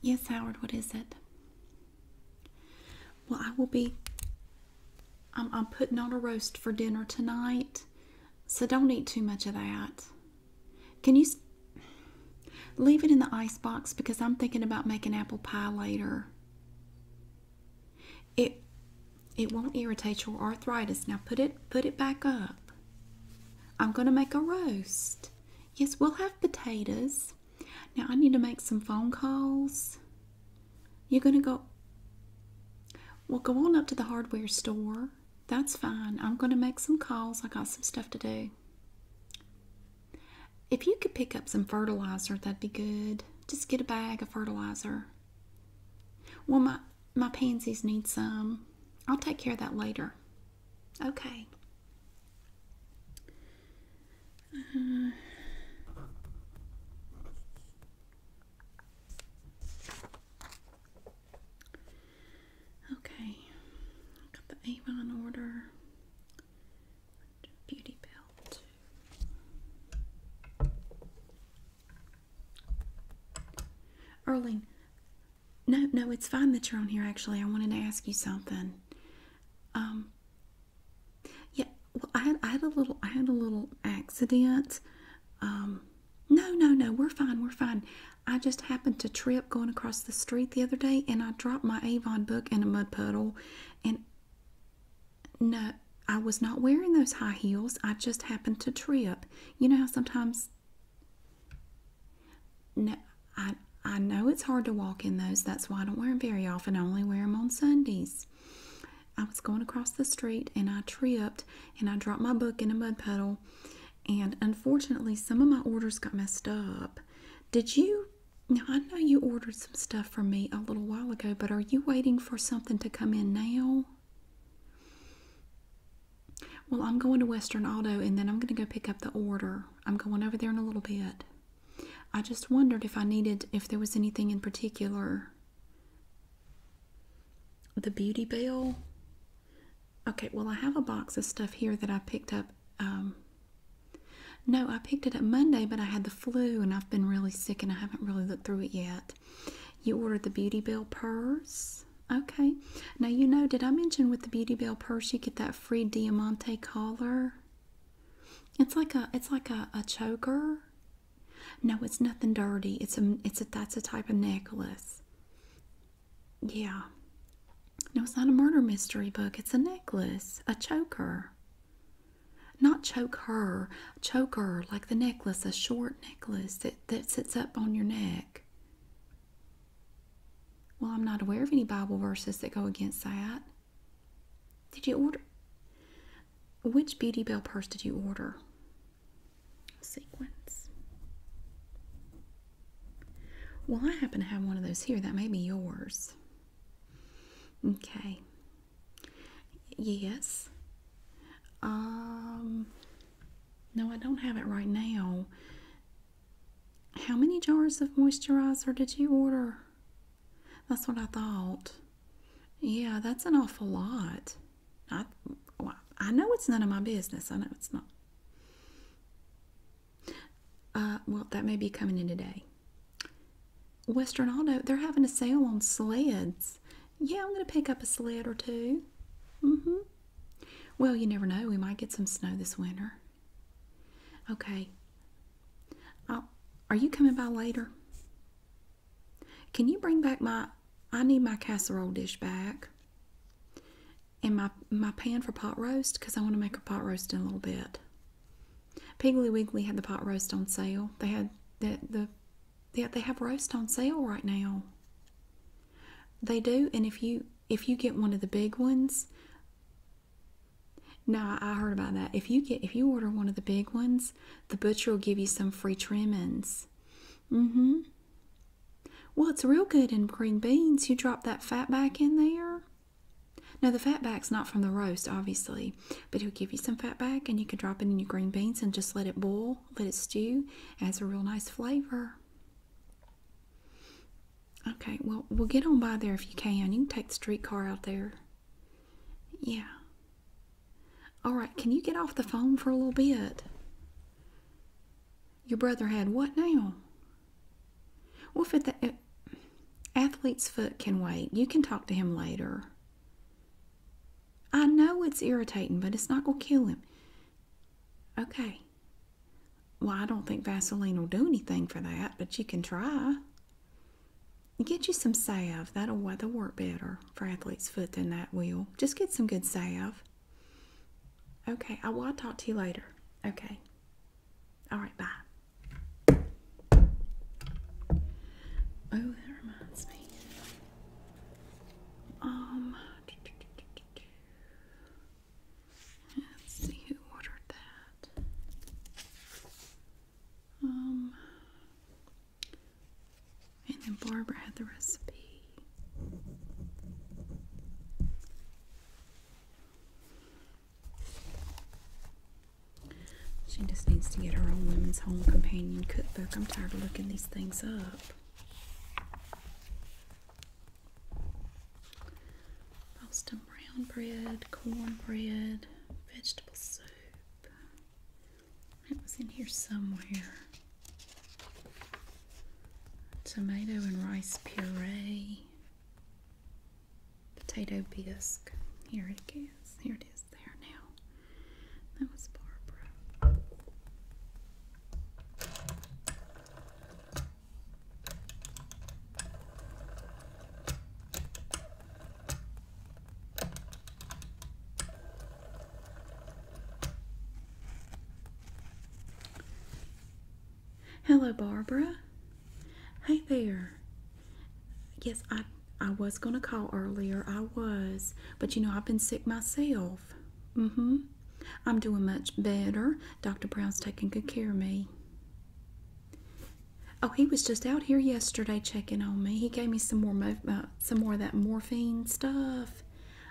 Yes, Howard, what is it? Well, I will be. I'm, putting on a roast for dinner tonight. So don't eat too much of that. Can you leave it in the ice box because I'm thinking about making apple pie later. It it won't irritate your arthritis. Now put it put it back up. I'm going to make a roast. Yes, we'll have potatoes. Now I need to make some phone calls. You're going to go Well, go on up to the hardware store that's fine. I'm going to make some calls. I got some stuff to do. If you could pick up some fertilizer, that'd be good. Just get a bag of fertilizer. Well, my, my pansies need some. I'll take care of that later. Okay. Uh-huh. Okay, I got the Avon order. Beauty belt. Erling, no, no, it's fine that you're on here. Actually, I wanted to ask you something. Um. Yeah, well, I had I had a little I had a little accident. Um, no, no, no, we're fine, we're fine. I just happened to trip going across the street the other day and I dropped my Avon book in a mud puddle. And no, I was not wearing those high heels. I just happened to trip. You know how sometimes. No, I, I know it's hard to walk in those. That's why I don't wear them very often. I only wear them on Sundays. I was going across the street and I tripped and I dropped my book in a mud puddle. And unfortunately, some of my orders got messed up. Did you? Now, I know you ordered some stuff from me a little while ago, but are you waiting for something to come in now? Well, I'm going to Western Auto and then I'm going to go pick up the order. I'm going over there in a little bit. I just wondered if I needed, if there was anything in particular the Beauty Bell. Okay, well, I have a box of stuff here that I picked up. Um, no, I picked it up Monday, but I had the flu and I've been really sick and I haven't really looked through it yet. You ordered the Beauty Bell purse. Okay. Now, you know, did I mention with the Beauty Bell purse you get that free Diamante collar? It's like a, it's like a, a choker. No, it's nothing dirty. It's a it's a that's a type of necklace. Yeah. No, it's not a murder mystery book. It's a necklace, a choker. Not choke her, choker like the necklace, a short necklace that that sits up on your neck. Well, I'm not aware of any Bible verses that go against that. Did you order? Which Beauty Bell purse did you order? Sequence. Well, I happen to have one of those here. That may be yours. Okay. Yes. Um, no, I don't have it right now. How many jars of moisturizer did you order? That's what I thought. Yeah, that's an awful lot. I, well, I know it's none of my business. I know it's not. Uh, well, that may be coming in today. Western Auto, they're having a sale on sleds. Yeah, I'm going to pick up a sled or two. Mm-hmm. Well, you never know. We might get some snow this winter. Okay. i uh, are you coming by later? Can you bring back my I need my casserole dish back and my my pan for pot roast because I want to make a pot roast in a little bit. Piggly Wiggly had the pot roast on sale. They had the the they, they have roast on sale right now. They do, and if you if you get one of the big ones, no, I heard about that. If you get if you order one of the big ones, the butcher will give you some free trimmings. hmm What's real good in green beans. You drop that fat back in there. No, the fat back's not from the roast, obviously, but it'll give you some fat back, and you can drop it in your green beans and just let it boil, let it stew. It has a real nice flavor. Okay, well, we'll get on by there if you can. You can take the streetcar out there. Yeah. All right, can you get off the phone for a little bit? Your brother had what now? Well, if the eh, athlete's foot can wait, you can talk to him later. I know it's irritating, but it's not going to kill him. Okay. Well, I don't think Vaseline will do anything for that, but you can try. Get you some salve. That'll, that'll work better for athlete's foot than that will. Just get some good salve. Okay, I will talk to you later. Okay. All right, bye. Oh, that reminds me. Um, let's see who ordered that. Um, and then Barbara had the recipe. She just needs to get her own Women's Home Companion cookbook. I'm tired of looking these things up. Boston brown bread, cornbread, vegetable soup, it was in here somewhere. Tomato and rice puree. Potato bisque. Here it is. Here it is there now. That was Barbara. Hello, Barbara. Hey there. Yes, I I was gonna call earlier. I was, but you know I've been sick myself. Mm-hmm. I'm doing much better. Dr. Brown's taking good care of me. Oh, he was just out here yesterday checking on me. He gave me some more uh, some more of that morphine stuff.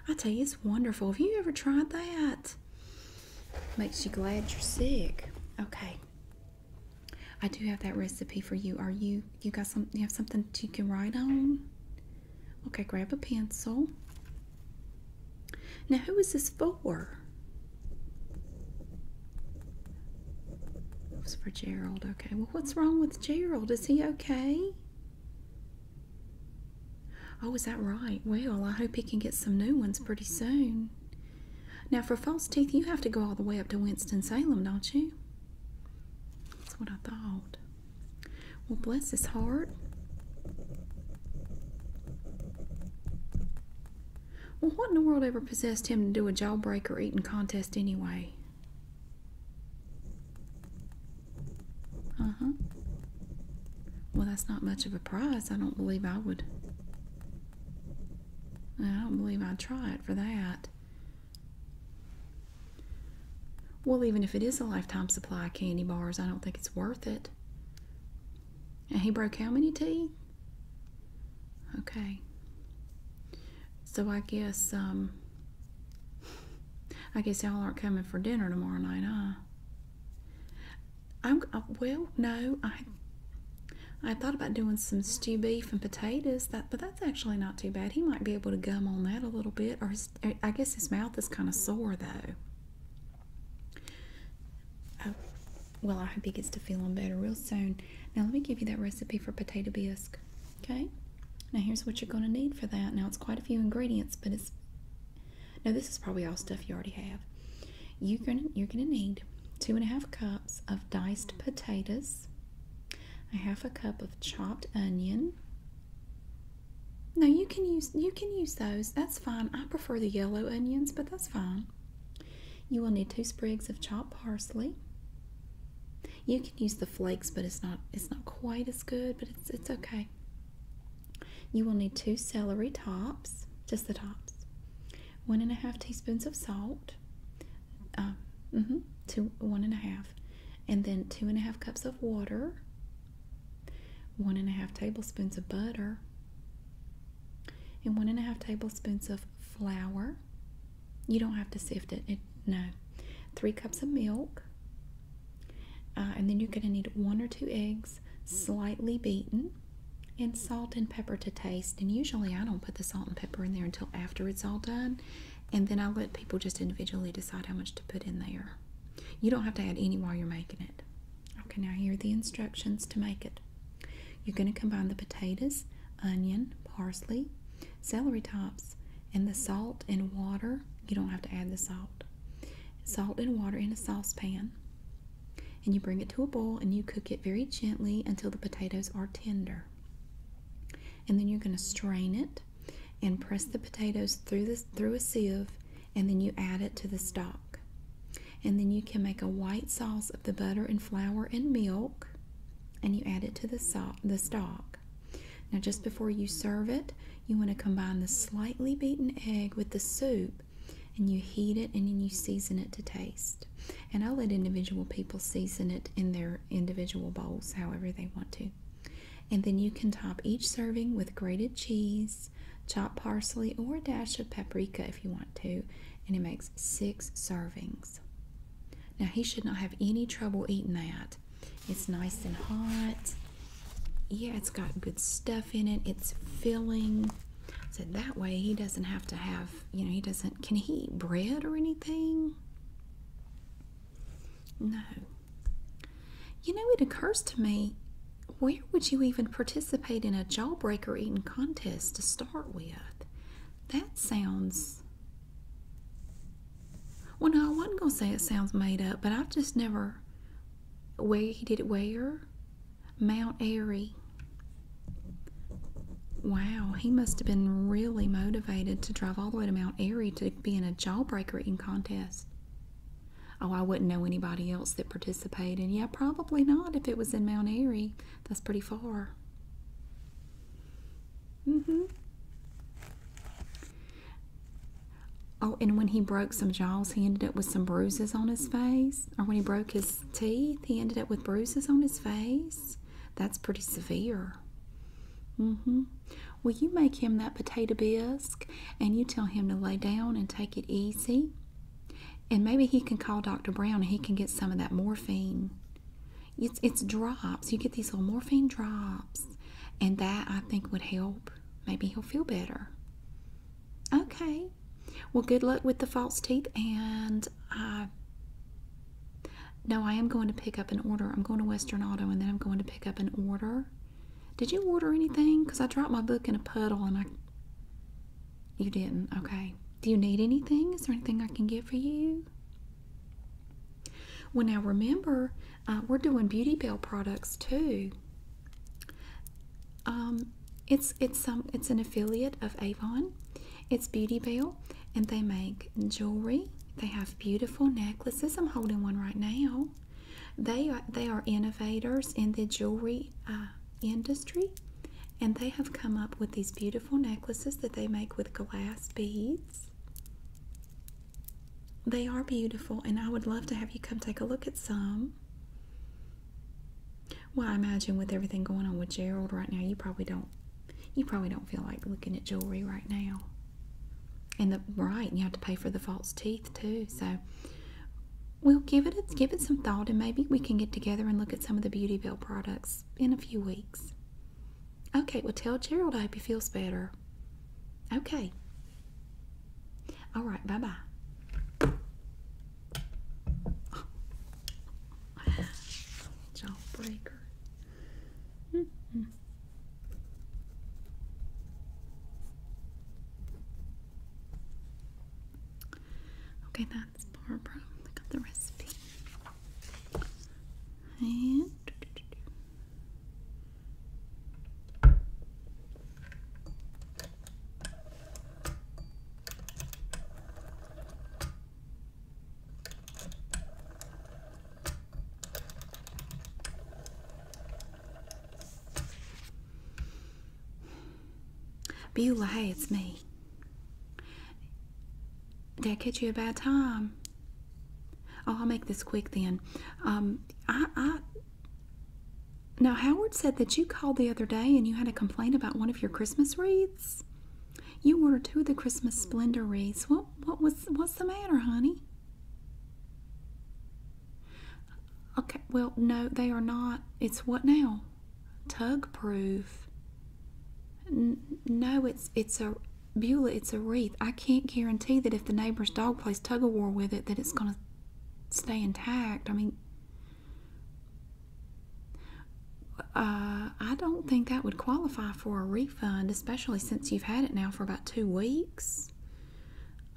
I tell you, it's wonderful. Have you ever tried that? Makes you glad you're sick. Okay. I do have that recipe for you. Are you you got some you have something that you can write on? Okay, grab a pencil. Now who is this for? It was for Gerald. Okay. Well, what's wrong with Gerald? Is he okay? Oh, is that right? Well, I hope he can get some new ones pretty soon. Now, for false teeth, you have to go all the way up to Winston-Salem, don't you? That's what I thought. Well, bless his heart. Well, what in the world ever possessed him to do a jawbreaker eating contest anyway? Uh huh. Well, that's not much of a prize. I don't believe I would. I don't believe I'd try it for that. Well, even if it is a lifetime supply candy bars, I don't think it's worth it. And he broke how many teeth? Okay. So I guess um, I guess y'all aren't coming for dinner tomorrow night, huh? I'm uh, well, no, I I thought about doing some stew beef and potatoes, that but that's actually not too bad. He might be able to gum on that a little bit, or eh, I guess his mouth is kind of sore though. Oh, well, I hope he gets to feeling better real soon. Now let me give you that recipe for potato bisque. Okay, now here's what you're going to need for that. Now it's quite a few ingredients, but it's now this is probably all stuff you already have. You're gonna you're gonna need two and a half cups of diced potatoes, a half a cup of chopped onion. Now you can use you can use those. That's fine. I prefer the yellow onions, but that's fine. You will need two sprigs of chopped parsley, you can use the flakes, but it's not it's not quite as good, but it's it's okay. You will need two celery tops, just the tops, one and a half teaspoons of salt, uh, mm two one and a half, and then two and a half cups of water, one and a half tablespoons of butter, and one and a half tablespoons of flour. You don't have to sift it no, three cups of milk, uh, and then you're going to need one or two eggs, slightly beaten, and salt and pepper to taste. And usually I don't put the salt and pepper in there until after it's all done. And then I let people just individually decide how much to put in there. You don't have to add any while you're making it. Okay, now here are the instructions to make it. You're going to combine the potatoes, onion, parsley, celery tops, and the salt and water you don't have to add the salt. Salt and water in a saucepan. And you bring it to a boil and you cook it very gently until the potatoes are tender. And then you're going to strain it and press the potatoes through this through a sieve and then you add it to the stock. And then you can make a white sauce of the butter and flour and milk and you add it to the stock. Now, just before you serve it, you want to combine the slightly beaten egg with the soup and you heat it and then you season it to taste. And I let individual people season it in their individual bowls however they want to. And then you can top each serving with grated cheese, chopped parsley, or a dash of paprika if you want to. And it makes six servings. Now, he should not have any trouble eating that. It's nice and hot. Yeah, it's got good stuff in it. It's filling. So that way he doesn't have to have, you know, he doesn't, can he eat bread or anything? No. You know, it occurs to me, where would you even participate in a jawbreaker eating contest to start with? That sounds well, no, I wasn't going to say it sounds made up, but I've just never. Where he did it where? Mount Airy. Wow, he must have been really motivated to drive all the way to Mount Airy to be in a jawbreaker eating contest. Oh, I wouldn't know anybody else that participated. Yeah, probably not if it was in Mount Airy. That's pretty far. Mm hmm Oh, and when he broke some jaws, he ended up with some bruises on his face. Or when he broke his teeth, he ended up with bruises on his face. That's pretty severe. Mm-hmm. Well, you make him that potato bisque, and you tell him to lay down and take it easy. And maybe he can call Dr. Brown and he can get some of that morphine. It's, it's drops. You get these little morphine drops. And that, I think, would help. Maybe he'll feel better. Okay. Well, good luck with the false teeth. And I. Uh, no, I am going to pick up an order. I'm going to Western Auto and then I'm going to pick up an order. Did you order anything? Because I dropped my book in a puddle and I. You didn't. Okay. Do you need anything? Is there anything I can get for you? Well, now remember, uh, we're doing Beauty Bell products too. Um, it's it's some it's an affiliate of Avon. It's Beauty Bell, and they make jewelry. They have beautiful necklaces. I'm holding one right now. They are, they are innovators in the jewelry uh, industry, and they have come up with these beautiful necklaces that they make with glass beads. They are beautiful, and I would love to have you come take a look at some. Well, I imagine with everything going on with Gerald right now, you probably don't you probably don't feel like looking at jewelry right now. And the right, you have to pay for the false teeth too. So we'll give it give it some thought, and maybe we can get together and look at some of the Beautyville products in a few weeks. Okay, well tell Gerald I hope he feels better. Okay. All right. Bye bye. Oh. -hmm. Okay, that's Barbara. Look at the recipe. And Beulah, it's me. Did I catch you a bad time? Oh, I'll make this quick then. Um, I, now Howard said that you called the other day and you had a complaint about one of your Christmas wreaths. You ordered two of the Christmas Splendor wreaths. What what was what's the matter, honey? Okay, well, no, they are not. It's what now? Tug proof. no, it's it's a Beulah, it's a wreath. I can't guarantee that if the neighbor's dog plays tug of war with it, that it's going to stay intact. I mean, uh, I don't think that would qualify for a refund, especially since you've had it now for about two weeks.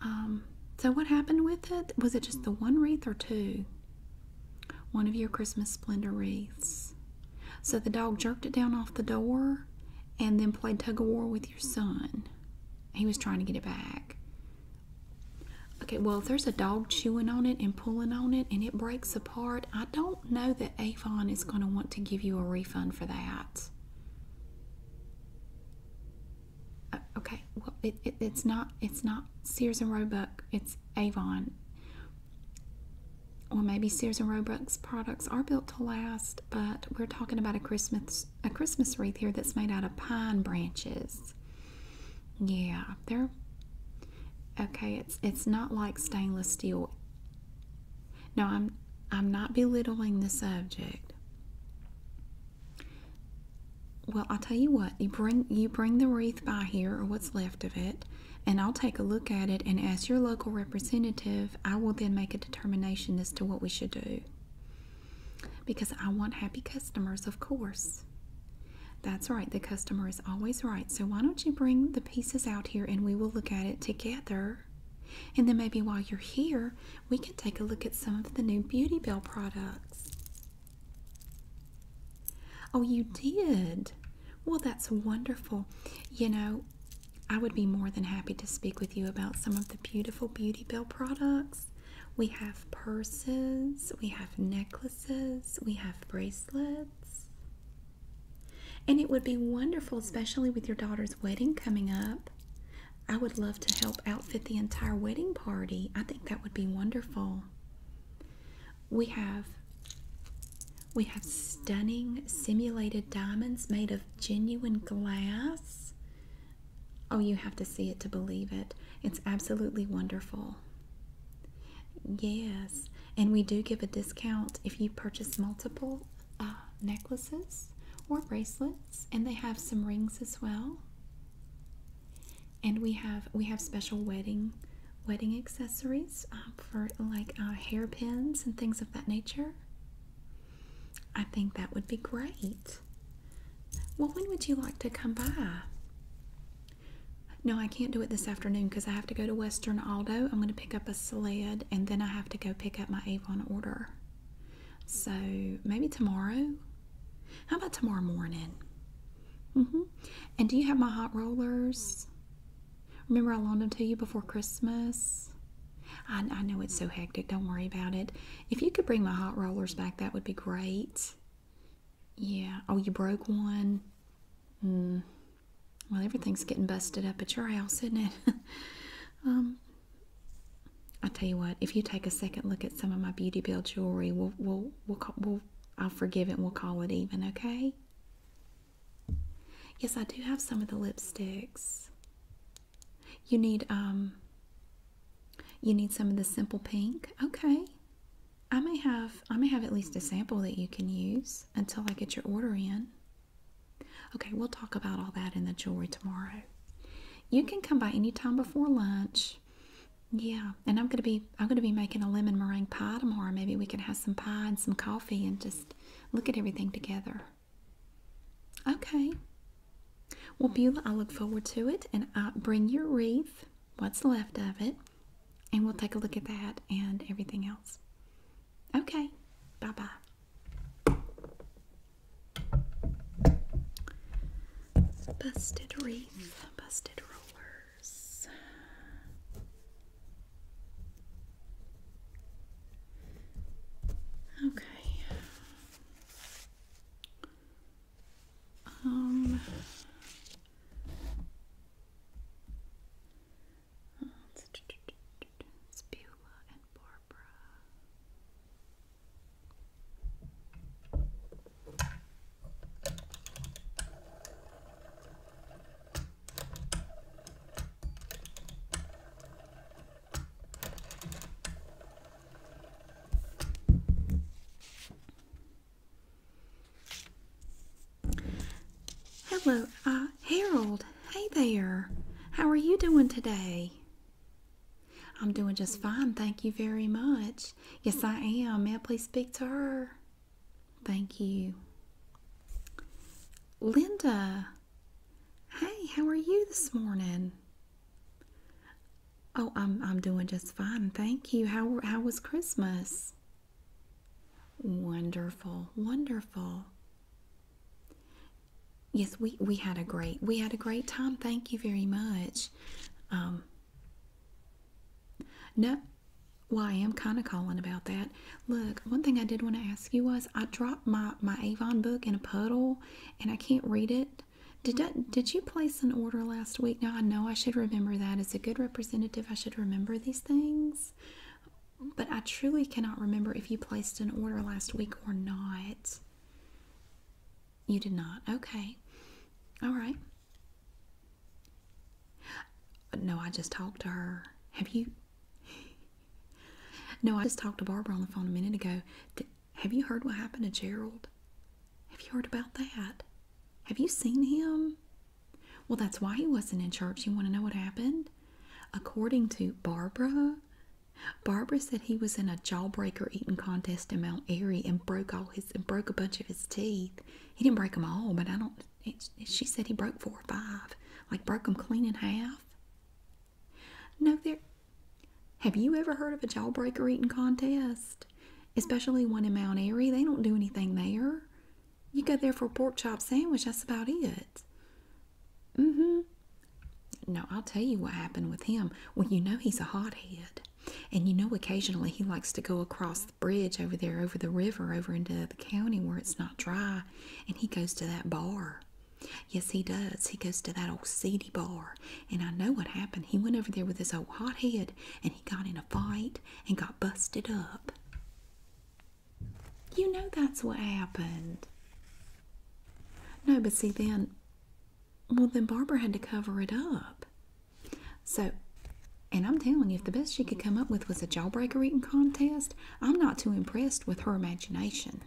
Um, so, what happened with it? Was it just the one wreath or two? One of your Christmas splendor wreaths. So, the dog jerked it down off the door and then played tug of war with your son. He was trying to get it back. Okay, well, if there's a dog chewing on it and pulling on it and it breaks apart, I don't know that Avon is going to want to give you a refund for that. Uh, okay, well, it's not it's not Sears and Roebuck, it's Avon. well, maybe Sears and Roebuck's products are built to last, but we're talking about a Christmas a Christmas wreath here that's made out of pine branches. Yeah, they're okay. It's it's not like stainless steel. No, I'm I'm not belittling the subject. Well, I'll tell you what. You bring you bring the wreath by here or what's left of it, and I'll take a look at it and ask your local representative. I will then make a determination as to what we should do. Because I want happy customers, of course. That's right, the customer is always right. So why don't you bring the pieces out here and we will look at it together. And then maybe while you're here, we can take a look at some of the new Beauty Bell products. Oh, you did? Well, that's wonderful. You know, I would be more than happy to speak with you about some of the beautiful Beauty Bell products. We have purses, we have necklaces, we have bracelets. And it would be wonderful, especially with your daughter's wedding coming up. I would love to help outfit the entire wedding party. I think that would be wonderful. We have we have stunning simulated diamonds made of genuine glass Oh, you have to see it to believe it. It's absolutely wonderful. Yes, and we do give a discount if you purchase multiple uh, necklaces or bracelets, and they have some rings as well. And we have we have special wedding wedding accessories uh, for like uh, hairpins and things of that nature. I think that would be great. Well, when would you like to come by? No, I can't do it this afternoon because I have to go to Western Aldo. I'm going to pick up a sled and then I have to go pick up my Avon order. So maybe tomorrow? How about tomorrow morning? Mm hmm And do you have my hot rollers? Remember I loaned them to you before Christmas? I, know it's so hectic. Don't worry about it. If you could bring my hot rollers back, that would be great. Yeah. Oh, you broke one. Mm. Well, everything's getting busted up at your house, isn't it? um, I tell you what. If you take a second look at some of my beauty bill jewelry, we'll we'll we'll, we'll I'll forgive it. and We'll call it even. Okay. Yes, I do have some of the lipsticks. You need um you need some of the simple pink. Okay. I may have I may have at least a sample that you can use until I get your order in. Okay, we'll talk about all that in the jewelry tomorrow. You can come by any time before lunch. Yeah, and I'm gonna be I'm gonna be making a lemon meringue pie tomorrow. Maybe we can have some pie and some coffee and just look at everything together. Okay. Well, Beulah, I look forward to it, and I bring your wreath, what's left of it, and we'll take a look at that and everything else. Okay. Bye bye. Busted wreath, busted rollers. Okay. Um, it's Beulah and Barbara. Hello, uh, Harold. Hey there. How are you doing today? I'm doing just fine, thank you very much. Yes, I am. May I please speak to her? Thank you. Linda, Hey, how are you this morning? Oh, I'm I'm doing just fine. Thank you. How how was Christmas? Wonderful. Wonderful. Yes, we we had a great we had a great time. Thank you very much. Um No, well, I am kind of calling about that. Look, one thing I did want to ask you was I dropped my my Avon book in a puddle and I can't read it. Did that, did you place an order last week? Now I know I should remember that as a good representative. I should remember these things, but I truly cannot remember if you placed an order last week or not. You did not. Okay. All right. No, I just talked to her. Have you? No, I just talked to Barbara on the phone a minute ago. Have you heard what happened to Gerald? Have you heard about that? Have you seen him? Well, that's why he wasn't in church. You want to know what happened? According to Barbara, Barbara said he was in a jawbreaker eating contest in Mount Airy and broke all his and broke a bunch of his teeth. He didn't break them all, but I don't. she said he broke four or five, like broke them clean in half. No, there. Have you ever heard of a jawbreaker eating contest? Especially one in Mount Airy. They don't do anything there. You go there for a pork chop sandwich, that's about it. Mm hmm. No, I'll tell you what happened with him. Well, you know he's a hot head, And you know occasionally he likes to go across the bridge over there, over the river, over into the county where it's not dry. And he goes to that bar. Yes, he does. He goes to that old seedy bar. And I know what happened. He went over there with his old hot head, and he got in a fight and got busted up. You know that's what happened. No, but see, then, well, then Barbara had to cover it up. So, and I'm telling you, if the best she could come up with was a jawbreaker eating contest, I'm not too impressed with her imagination.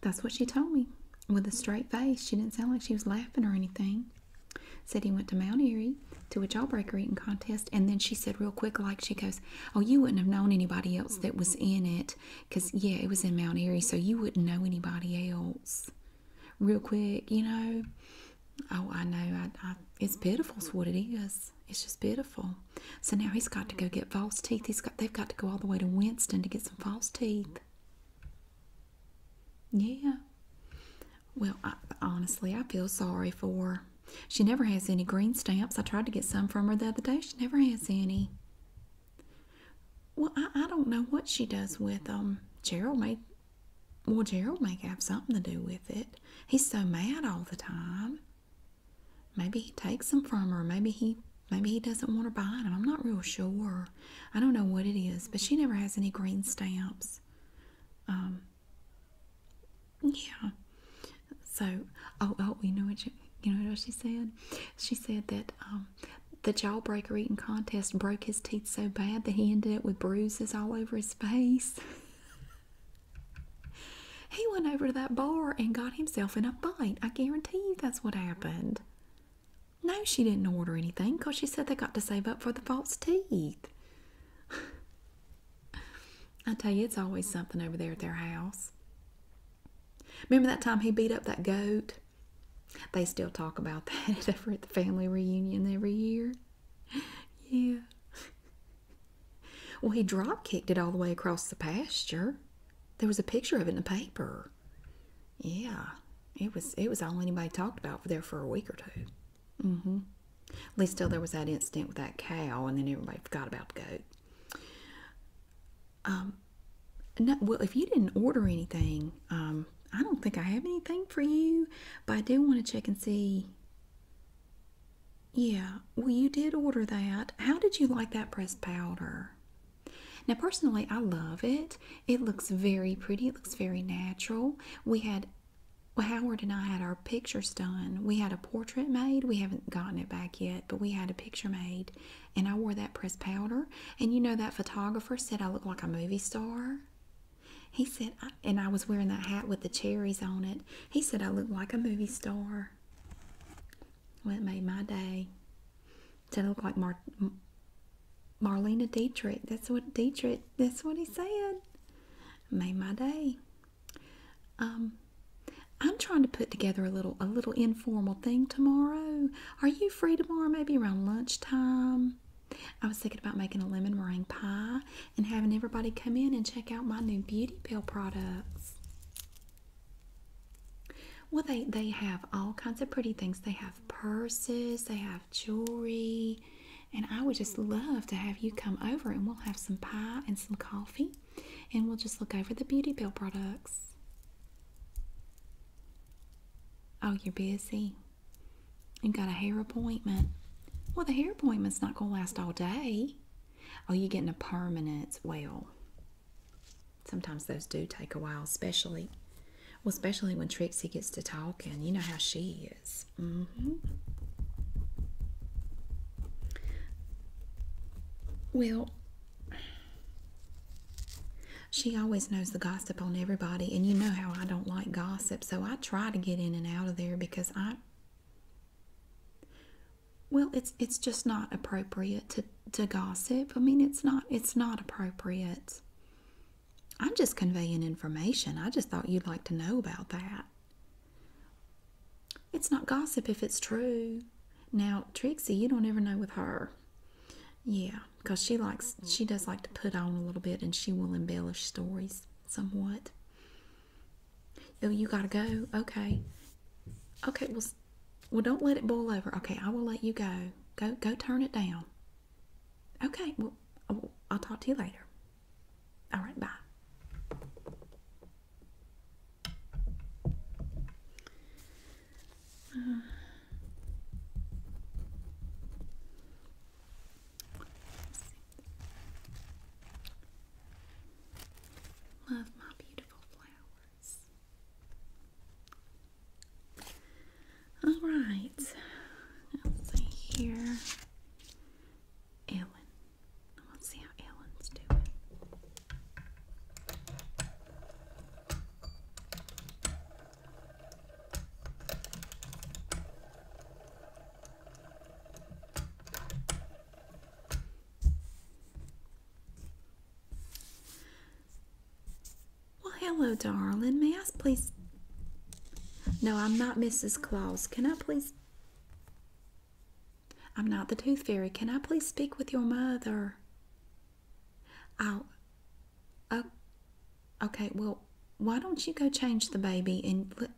That's what she told me with a straight face. She didn't sound like she was laughing or anything. Said he went to Mount Airy to a jawbreaker eating contest, and then she said real quick, like she goes, "Oh, you wouldn't have known anybody else that was in it, cause yeah, it was in Mount Airy, so you wouldn't know anybody else." Real quick, you know. Oh, I know. I, I, it's pitiful, is what it is. It's just pitiful. So now he's got to go get false teeth. He's got they've got to go all the way to Winston to get some false teeth. Yeah. Well, I, honestly, I feel sorry for her. She never has any green stamps. I tried to get some from her the other day. She never has any. Well, I, I don't know what she does with them. Um, Gerald may, well, Gerald may have something to do with it. He's so mad all the time. Maybe he takes them from her. Maybe he maybe he doesn't want her buying them. I'm not real sure. I don't know what it is, but she never has any green stamps. Um. Yeah. So, oh, oh, you know what you, you know what she said? She said that um, the jawbreaker eating contest broke his teeth so bad that he ended up with bruises all over his face. He went over to that bar and got himself in a fight. I guarantee you that's what happened. No, she didn't order anything because she said they got to save up for the false teeth. I tell you, it's always something over there at their house. Remember that time he beat up that goat? They still talk about that at the family reunion every year. Yeah. Well, he drop kicked it all the way across the pasture. There was a picture of it in the paper. Yeah, it was it was all anybody talked about there for a week or 2 Mm-hmm. At least till there was that incident with that cow, and then everybody forgot about the goat. Um, no, well, if you didn't order anything, um, I don't think I have anything for you, but I do want to check and see. Yeah, well, you did order that. How did you like that pressed powder? Now, personally, I love it. It looks very pretty. It looks very natural. We had well, Howard and I had our pictures done. We had a portrait made. We haven't gotten it back yet, but we had a picture made, and I wore that pressed powder. And you know that photographer said I look like a movie star. He said, I, and I was wearing that hat with the cherries on it. He said I look like a movie star. Well, it made my day. To look like Mar Marlena Dietrich. That's what Dietrich. That's what he said. Made my day. Um, I'm trying to put together a little a little informal thing tomorrow. Are you free tomorrow? Maybe around lunchtime. I was thinking about making a lemon meringue pie and having everybody come in and check out my new Beauty Pill products. Well, they, they have all kinds of pretty things. They have purses, they have jewelry, and I would just love to have you come over and we'll have some pie and some coffee and we'll just look over the Beauty Bell products. Oh, you're busy. You got a hair appointment. Well, the hair appointment's not going to last all day. Oh, you're getting a permanent. Well, Sometimes those do take a while, especially, well, especially when Trixie gets to talking. You know how she is. Mm-hmm. Well, she always knows the gossip on everybody, and you know how I don't like gossip, so I try to get in and out of there because I well it's it's just not appropriate to to gossip. I mean it's not it's not appropriate. I'm just conveying information. I just thought you'd like to know about that. It's not gossip if it's true. Now, Trixie, you don't ever know with her. Yeah, because she likes she does like to put on a little bit and she will embellish stories somewhat. Oh, you gotta go. Okay. Okay, well well don't let it boil over. Okay, I will let you go. Go go turn it down. Okay, well I'll talk to you later. All right, bye. Love my beautiful flower. All right. Let's see here. Ellen. Let's see how Ellen's doing. Well, hello, darling. May I please? No, I'm not Mrs. Claus. Can I please? I'm not the tooth fairy. Can I please speak with your mother? I'll. Uh, okay, well, why don't you go change the baby and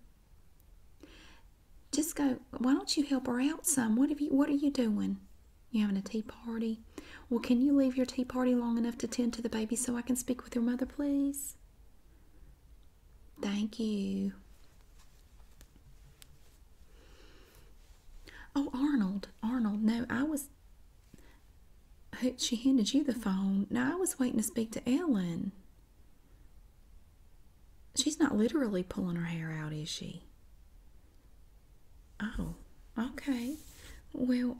just go? Why don't you help her out some? What have you? What are you doing? You having a tea party? Well, can you leave your tea party long enough to tend to the baby so I can speak with your mother, please? Thank you. Oh, Arnold, Arnold, no, I was. She handed you the phone. No, I was waiting to speak to Ellen. She's not literally pulling her hair out, is she? Oh, okay. Well,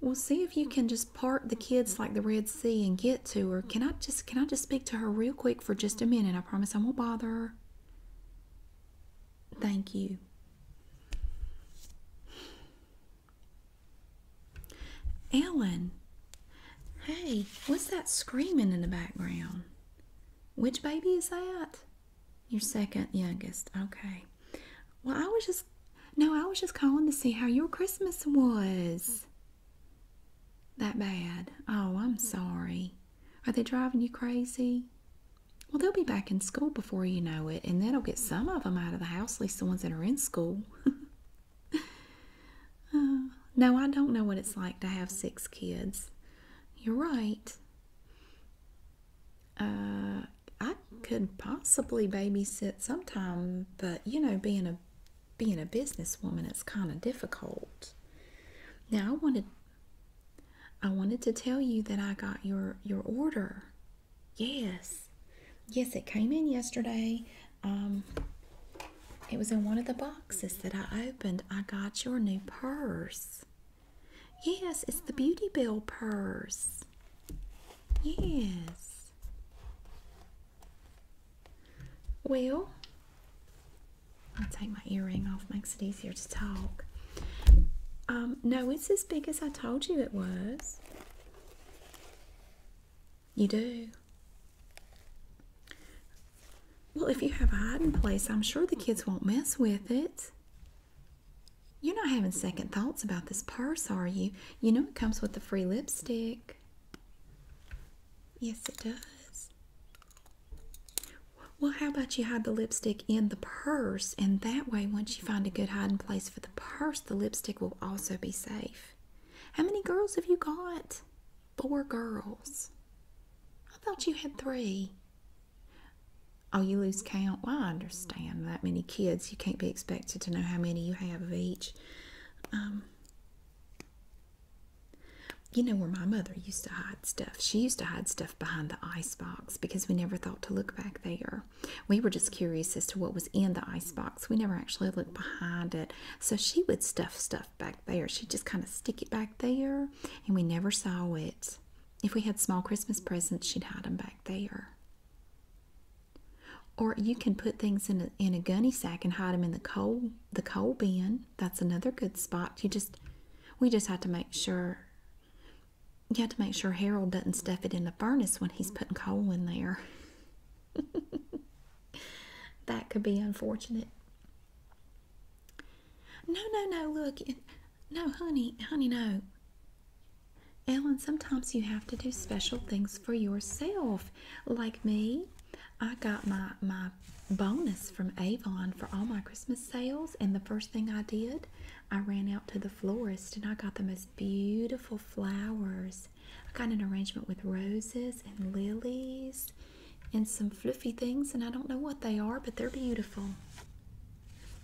well, see if you can just part the kids like the Red Sea and get to her. Can I just can I just speak to her real quick for just a minute? I promise I won't bother her. Thank you. Ellen, hey, what's that screaming in the background? Which baby is that? Your second youngest. Okay. Well, I was just no, I was just calling to see how your Christmas was. That bad. Oh, I'm sorry. Are they driving you crazy? Well, they'll be back in school before you know it, and then i will get some of them out of the house, at least the ones that are in school. uh, no, I don't know what it's like to have six kids. You're right. Uh, I could possibly babysit sometime, but you know, being a being a businesswoman, it's kind of difficult. Now, I wanted I wanted to tell you that I got your your order. Yes, yes, it came in yesterday. Um, it was in one of the boxes that I opened. I got your new purse. Yes, it's the Beauty Bell purse. Yes. Well, I'll take my earring off, makes it easier to talk. Um, no, it's as big as I told you it was. You do. Well, if you have a hiding place, I'm sure the kids won't mess with it. You're not having second thoughts about this purse, are you? You know it comes with the free lipstick. Yes, it does. Well, how about you hide the lipstick in the purse? And that way, once you find a good hiding place for the purse, the lipstick will also be safe. How many girls have you got? Four girls. I thought you had three. Oh, you lose count. Well, I understand that many kids. You can't be expected to know how many you have of each. Um, you know where my mother used to hide stuff. She used to hide stuff behind the ice box because we never thought to look back there. We were just curious as to what was in the ice box. We never actually looked behind it. So she would stuff stuff back there. She'd just kind of stick it back there and we never saw it. If we had small Christmas presents, she'd 'em back there. Or you can put things in a, in a gunny sack and hide 'em in the coal the coal bin. That's another good spot. You just we just have to make sure you have to make sure Harold doesn't stuff it in the furnace when he's putting coal in there. that could be unfortunate. No, no, no, look. No, honey, honey, no. Ellen, sometimes you have to do special things for yourself. Like me, I got my, my bonus from Avon for all my Christmas sales, and the first thing I did, I ran out to the florist and I got the most beautiful flowers. I got an arrangement with roses and lilies and some fluffy things, and I don't know what they are, but they're beautiful.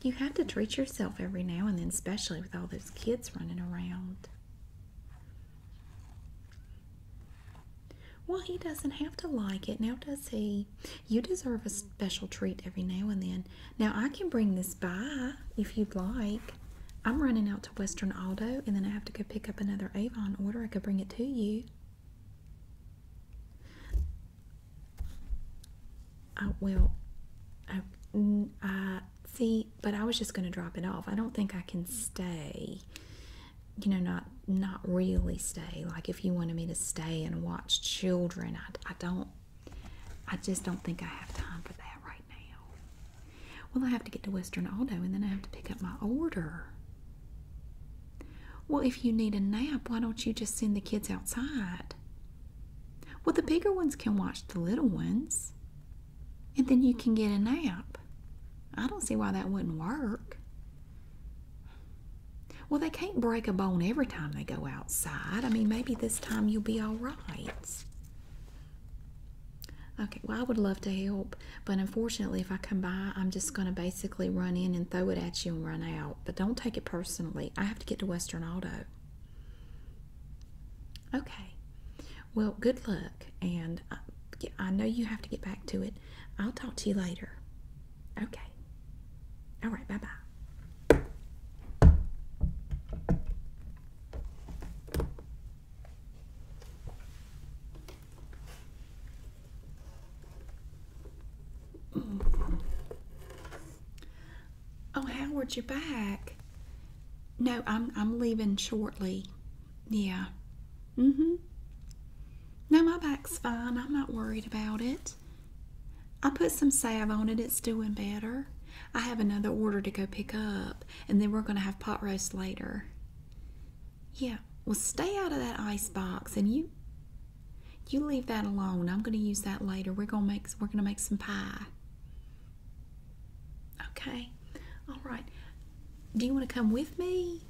You have to treat yourself every now and then, especially with all those kids running around. Well, he doesn't have to like it now, does he? You deserve a special treat every now and then. Now, I can bring this by if you'd like. I'm running out to Western Aldo, and then I have to go pick up another Avon order. I could bring it to you. I, well, see, but I was just going to drop it off. I don't think I can stay. You know, not not really stay. Like if you wanted me to stay and watch children, I, don't. I just don't think I have time for that right now. Well, I have to get to Western Auto, and then I have to pick up my order. Well, if you need a nap, why don't you just send the kids outside? Well, the bigger ones can watch the little ones, and then you can get a nap. I don't see why that wouldn't work. Well, they can't break a bone every time they go outside. I mean, maybe this time you'll be all right. Okay, well, I would love to help, but unfortunately, if I come by, I'm just going to basically run in and throw it at you and run out but don't take it personally. I have to get to Western Auto. Okay. Well, good luck, and uh, I know you have to get back to it. I'll talk to you later. Okay. All right, bye bye. Mm. Oh, Howard, you're back. No, I'm I'm leaving shortly. Yeah. Mm-hmm. No, my back's fine. I'm not worried about it. I put some salve on it. It's doing better. I have another order to go pick up, and then we're going to have pot roast later. Yeah, well, stay out of that ice box, and you you leave that alone. I'm going to use that later. We're going to make we're going to make some pie. Okay. All right. Do you want to come with me?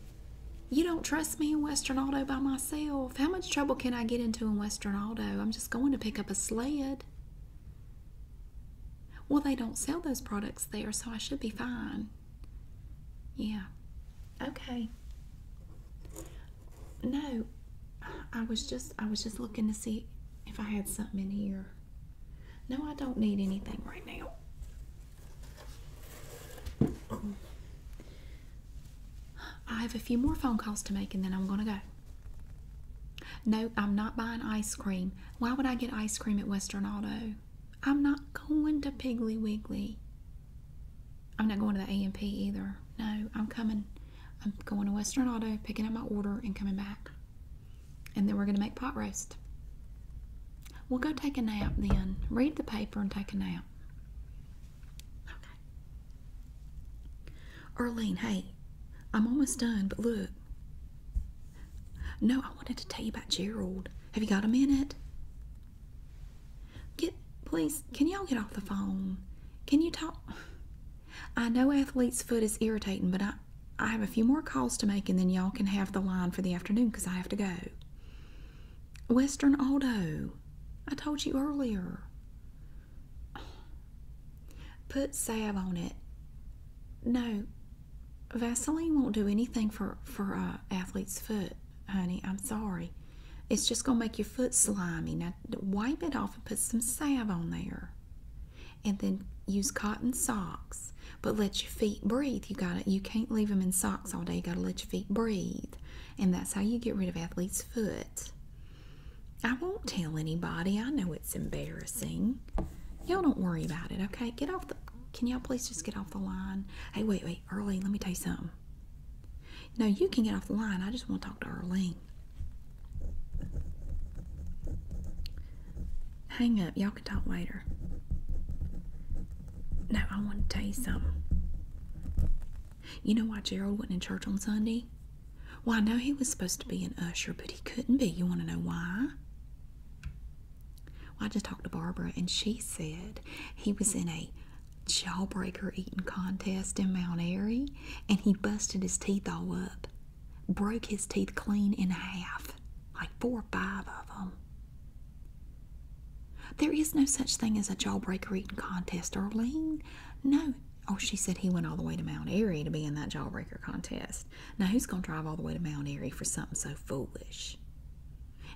You don't trust me in Western Auto by myself. How much trouble can I get into in Western Auto? I'm just going to pick up a sled. Well, they don't sell those products there, so I should be fine. Yeah. Okay no, I was just I was just looking to see if I had something in here. No, I don't need anything right now. I have a few more phone calls to make and then I'm gonna go. No, I'm not buying ice cream. Why would I get ice cream at Western Auto? I'm not going to Piggly Wiggly. I'm not going to the AMP either. No, I'm coming. I'm going to Western Auto, picking up my order, and coming back. And then we're going to make pot roast. We'll go take a nap then. Read the paper and take a nap. Okay. Earlene, hey, I'm almost done, but look. No, I wanted to tell you about Gerald. Have you got a minute? Get, please, can y'all get off the phone? Can you talk? I know athlete's foot is irritating, but I, I have a few more calls to make, and then y'all can have the line for the afternoon because I have to go. Western Aldo, I told you earlier. Put salve on it. No, Vaseline won't do anything for for a uh, athlete's foot honey. I'm sorry. It's just going to make your foot slimy. Now, wipe it off and put some salve on there. And then use cotton socks. But let your feet breathe. You got You can't leave them in socks all day. You got to let your feet breathe. And that's how you get rid of athlete's foot. I won't tell anybody. I know it's embarrassing. Y'all don't worry about it, okay? Get off the. Can y'all please just get off the line? Hey, wait, wait, early. Let me tell you something. Um, no, you can get off the line. I just want to talk to Arlene. Hang up. Y'all can talk later. No, I want to tell you something. You know why Gerald wasn't in church on Sunday? Well, I know he was supposed to be an usher, but he couldn't be. You want to know why? Well, I just talked to Barbara, and she said he was in a jawbreaker eating contest in Mount Airy, and he busted his teeth all up, broke his teeth clean in half, like four or five of them. There is no such thing as a jawbreaker eating contest, Arlene. No. Oh, she said he went all the way to Mount Airy to be in that jawbreaker contest. Now, who's going to drive all the way to Mount Airy for something so foolish?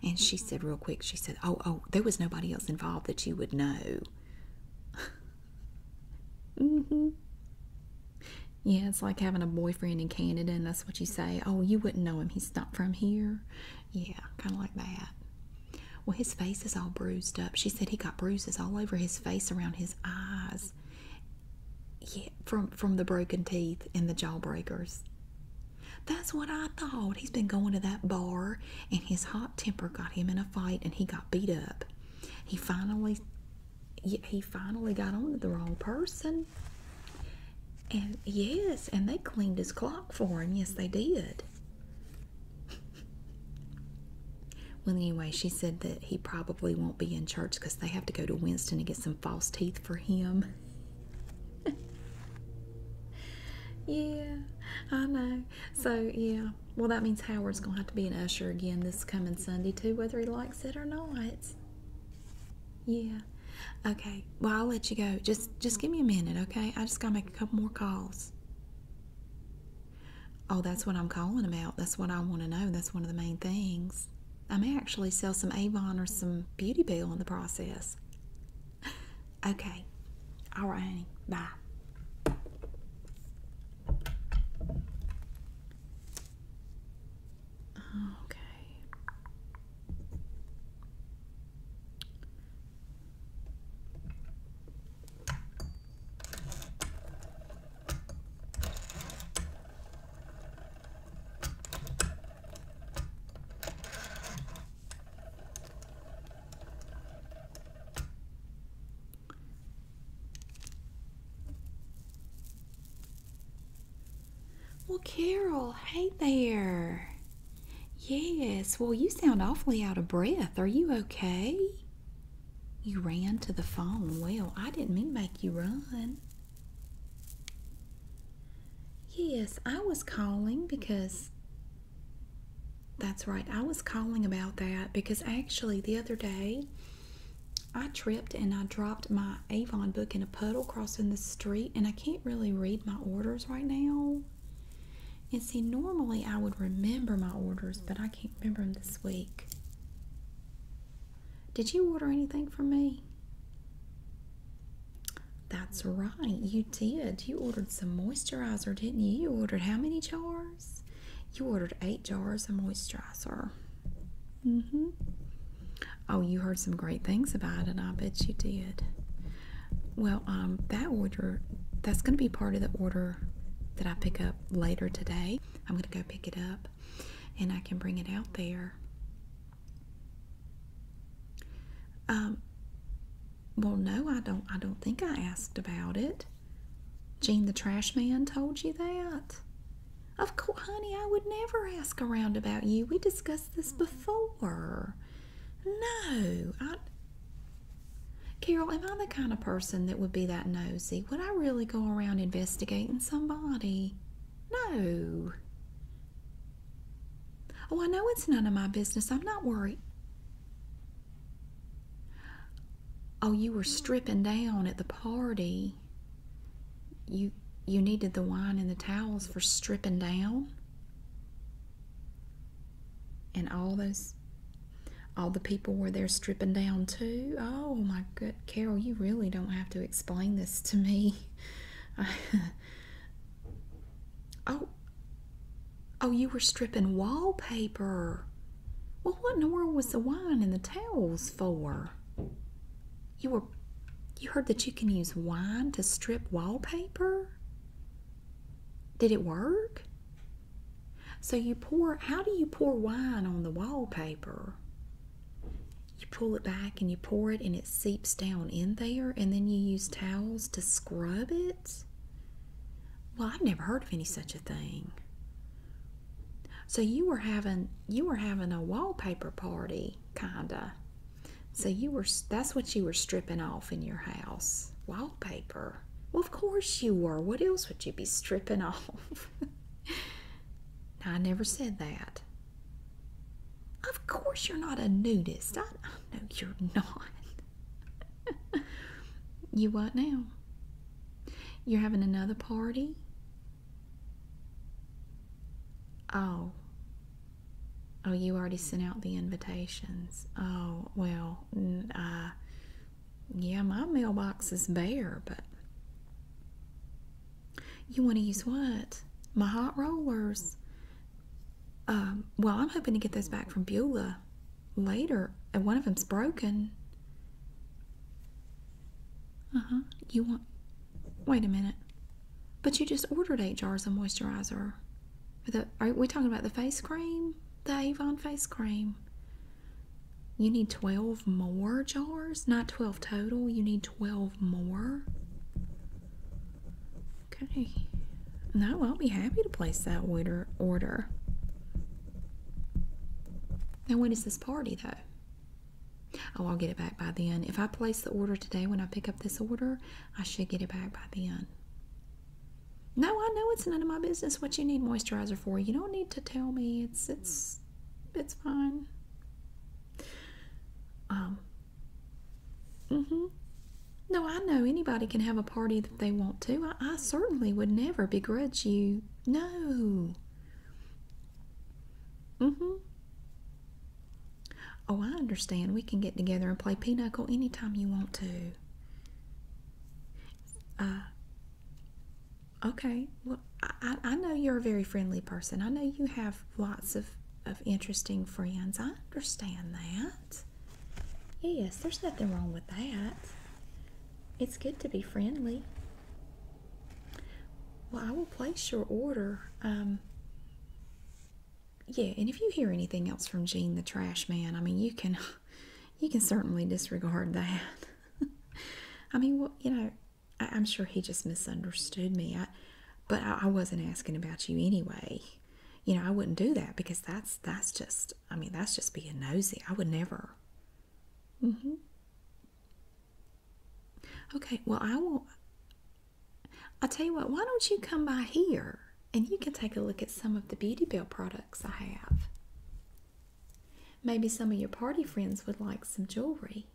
And she said, real quick, she said, Oh, oh, there was nobody else involved that you would know. hmm. Yeah, it's like having a boyfriend in Canada, and that's what you say. Oh, you wouldn't know him. He's not from here. Yeah, kind of like that. Well, his face is all bruised up. She said he got bruises all over his face, around his eyes. Yeah, from from the broken teeth and the jawbreakers. That's what I thought. He's been going to that bar, and his hot temper got him in a fight, and he got beat up. He finally, he finally got on to the wrong person. And yes, and they cleaned his clock for him. Yes, they did. well, anyway, she said that he probably won't be in church because they have to go to Winston to get some false teeth for him. yeah, I know. So, yeah. Well, that means Howard's going to have to be an usher again this coming Sunday, too, whether he likes it or not. Yeah. Okay. Well, I'll let you go. Just just give me a minute, okay? I just got to make a couple more calls. Oh, that's what I'm calling about. That's what I want to know. That's one of the main things. I may actually sell some Avon or some Beauty Bell in the process. Okay. All right, honey. Bye. Okay. Well, Carol, hey there. Yes, well, you sound awfully out of breath. Are you okay? You ran to the phone. Well, I didn't mean make you run. Yes, I was calling because that's right. I was calling about that because actually the other day I tripped and I dropped my Avon book in a puddle crossing the street, and I can't really read my orders right now. And see, normally I would remember my orders, but I can't remember them this week. Did you order anything for me? That's right, you did. You ordered some moisturizer, didn't you? You ordered how many jars? You ordered eight jars of moisturizer. Mm hmm. Oh, you heard some great things about it. I bet you did. Well, um, that order, that's going to be part of the order that I pick up later today. I'm going to go pick it up and I can bring it out there. Um, well, no, I don't. I don't think I asked about it. Gene the trash man told you that? Of course, honey, I would never ask around about you. We discussed this before. No, I. Carol, am I the kind of person that would be that nosy? Would I really go around investigating somebody? No. Oh, I know it's none of my business. I'm not worried. Oh, you were stripping down at the party. You you needed the wine and the towels for stripping down. And all those all the people were there stripping down too. Oh my good Carol, you really don't have to explain this to me. oh, Oh, you were stripping wallpaper. Well, what in the world was the wine and the towels for? You were you heard that you can use wine to strip wallpaper? Did it work? So you pour how do you pour wine on the wallpaper? You pull it back and you pour it and it seeps down in there and then you use towels to scrub it? Well, I've never heard of any such a thing. So you were having you were having a wallpaper party, kinda. So you were that's what you were stripping off in your house, wallpaper. Well, of course you were. What else would you be stripping off? I never said that. Of course you're not a nudist. I, I you're not. you what now? You're having another party? Oh. Oh, you already sent out the invitations. Oh, well, uh, yeah, my mailbox is bare, but. You want to use what? My hot rollers. Um, well, I'm hoping to get those back from Beulah later, and one of them's broken. Uh huh. You want. Wait a minute. But you just ordered eight jars of moisturizer. are we talking about the face cream? The Avon face cream. You need 12 more jars? Not 12 total. You need 12 more? Okay. No, I'll be happy to place that order. Order. Now, when is this party, though? Oh, I'll get it back by then. If I place the order today when I pick up this order, I should get it back by then. No, I know it's none of my business what you need moisturizer for. You don't need to tell me. It's it's it's fine. Um, Mm-hmm. No, I know anybody can have a party if they want to. I, certainly would never begrudge you. No. Mm-hmm. Oh, I understand. We can get together and play pinochle time you want to. Uh, okay. Well, I, I know you're a very friendly person. I know you have lots of, of interesting friends. I understand that. Yes, there's nothing wrong with that. It's good to be friendly. Well, I will place your order. Um, yeah, and if you hear anything else from Gene the trash man, I mean, you can, you can certainly disregard that. I mean, well, you know, I, am sure he just misunderstood me. but I wasn't asking about you anyway you know, I wouldn't do that because that's that's just I mean, that's just being nosy. I would never. Mm-hmm. Okay, well I will I'll tell you what, why don't you come by here and you can take a look at some of the Beauty Bell products I have. Maybe some of your party friends would like some jewelry.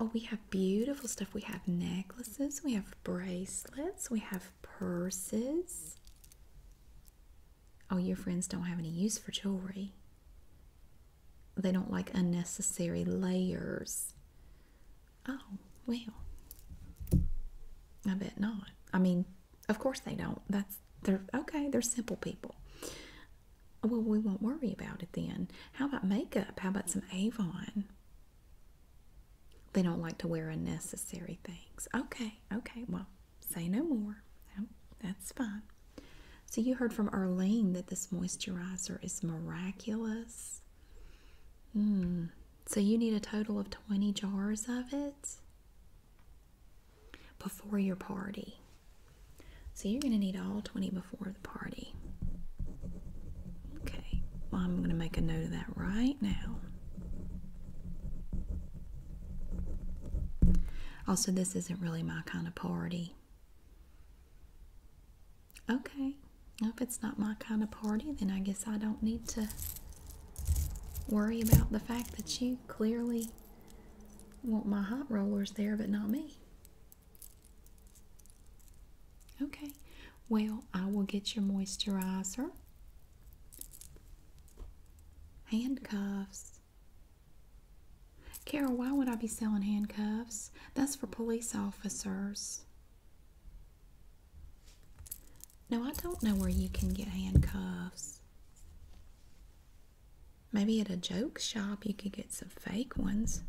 Oh, we have beautiful stuff. We have necklaces, we have bracelets, we have purses. Oh, your friends don't have any use for jewelry. They don't like unnecessary layers. Oh, well. I bet not. I mean, of course they don't. That's they're okay, they're simple people. Well, we won't worry about it then. How about makeup? How about some Avon? They don't like to wear unnecessary things. Okay, okay, well, say no more. that's fine. So, you heard from Arlene that this moisturizer is miraculous. Mm. So, you need a total of 20 jars of it before your party. So, you're going to need all 20 before the party. Okay, well, I'm going to make a note of that right now. Also, this isn't really my kind of party. Okay, if it's not my kind of party, then I guess I don't need to worry about the fact that you clearly want my hot rollers there, but not me. Okay, well, I will get your moisturizer, handcuffs. Carol, why would I be selling handcuffs? That's for police officers. No, I don't know where you can get handcuffs. Maybe at a joke shop you could get some fake ones.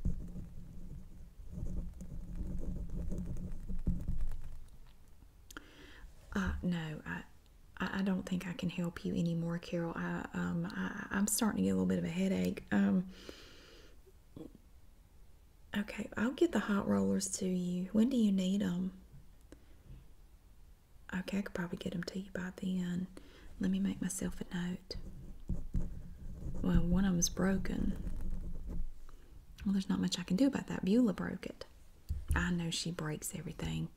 Uh, no, I, I don't think I can help you anymore, Carol. I, um, I'm starting to get a little bit of a headache. Um, okay, I'll get the hot rollers to you. When do you need them? Okay, I could probably get them to you by then. Let me make myself a note. Well, one of them's broken. Well, there's not much I can do about that. Beulah broke it. I know she breaks everything.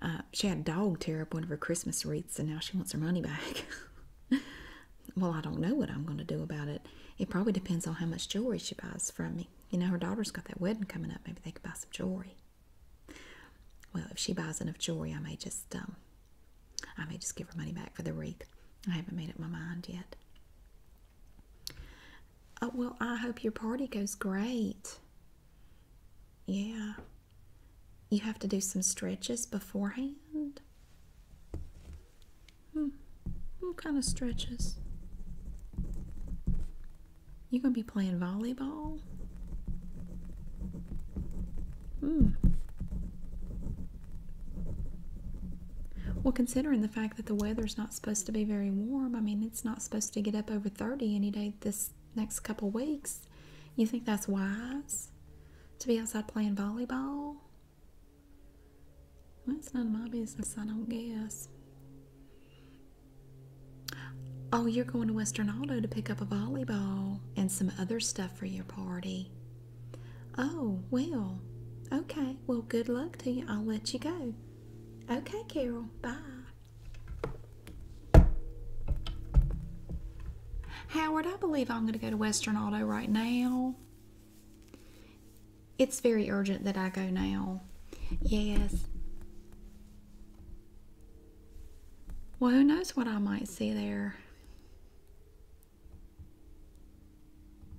Uh, she had a dog tear up one of her Christmas wreaths and now she wants her money back. well, I don't know what I'm going to do about it. It probably depends on how much jewelry she buys from me. You know, her daughter's got that wedding coming up. Maybe they could buy some jewelry. Well, if she buys enough jewelry, I may just, um, I may just give her money back for the wreath. I haven't made up my mind yet. Oh, well, I hope your party goes great. Yeah. You have to do some stretches beforehand. Hmm. What kind of stretches? You gonna be playing volleyball? Hmm. Well, considering the fact that the weather's not supposed to be very warm. I mean, it's not supposed to get up over 30 any day this next couple weeks. You think that's wise to be outside playing volleyball? That's none of my business, I don't guess. Oh, you're going to Western Auto to pick up a volleyball and some other stuff for your party. Oh, well, okay. Well, good luck to you. I'll let you go. Okay, Carol. Bye. Howard, I believe I'm going to go to Western Auto right now. It's very urgent that I go now. Yes. Well, who knows what I might see there?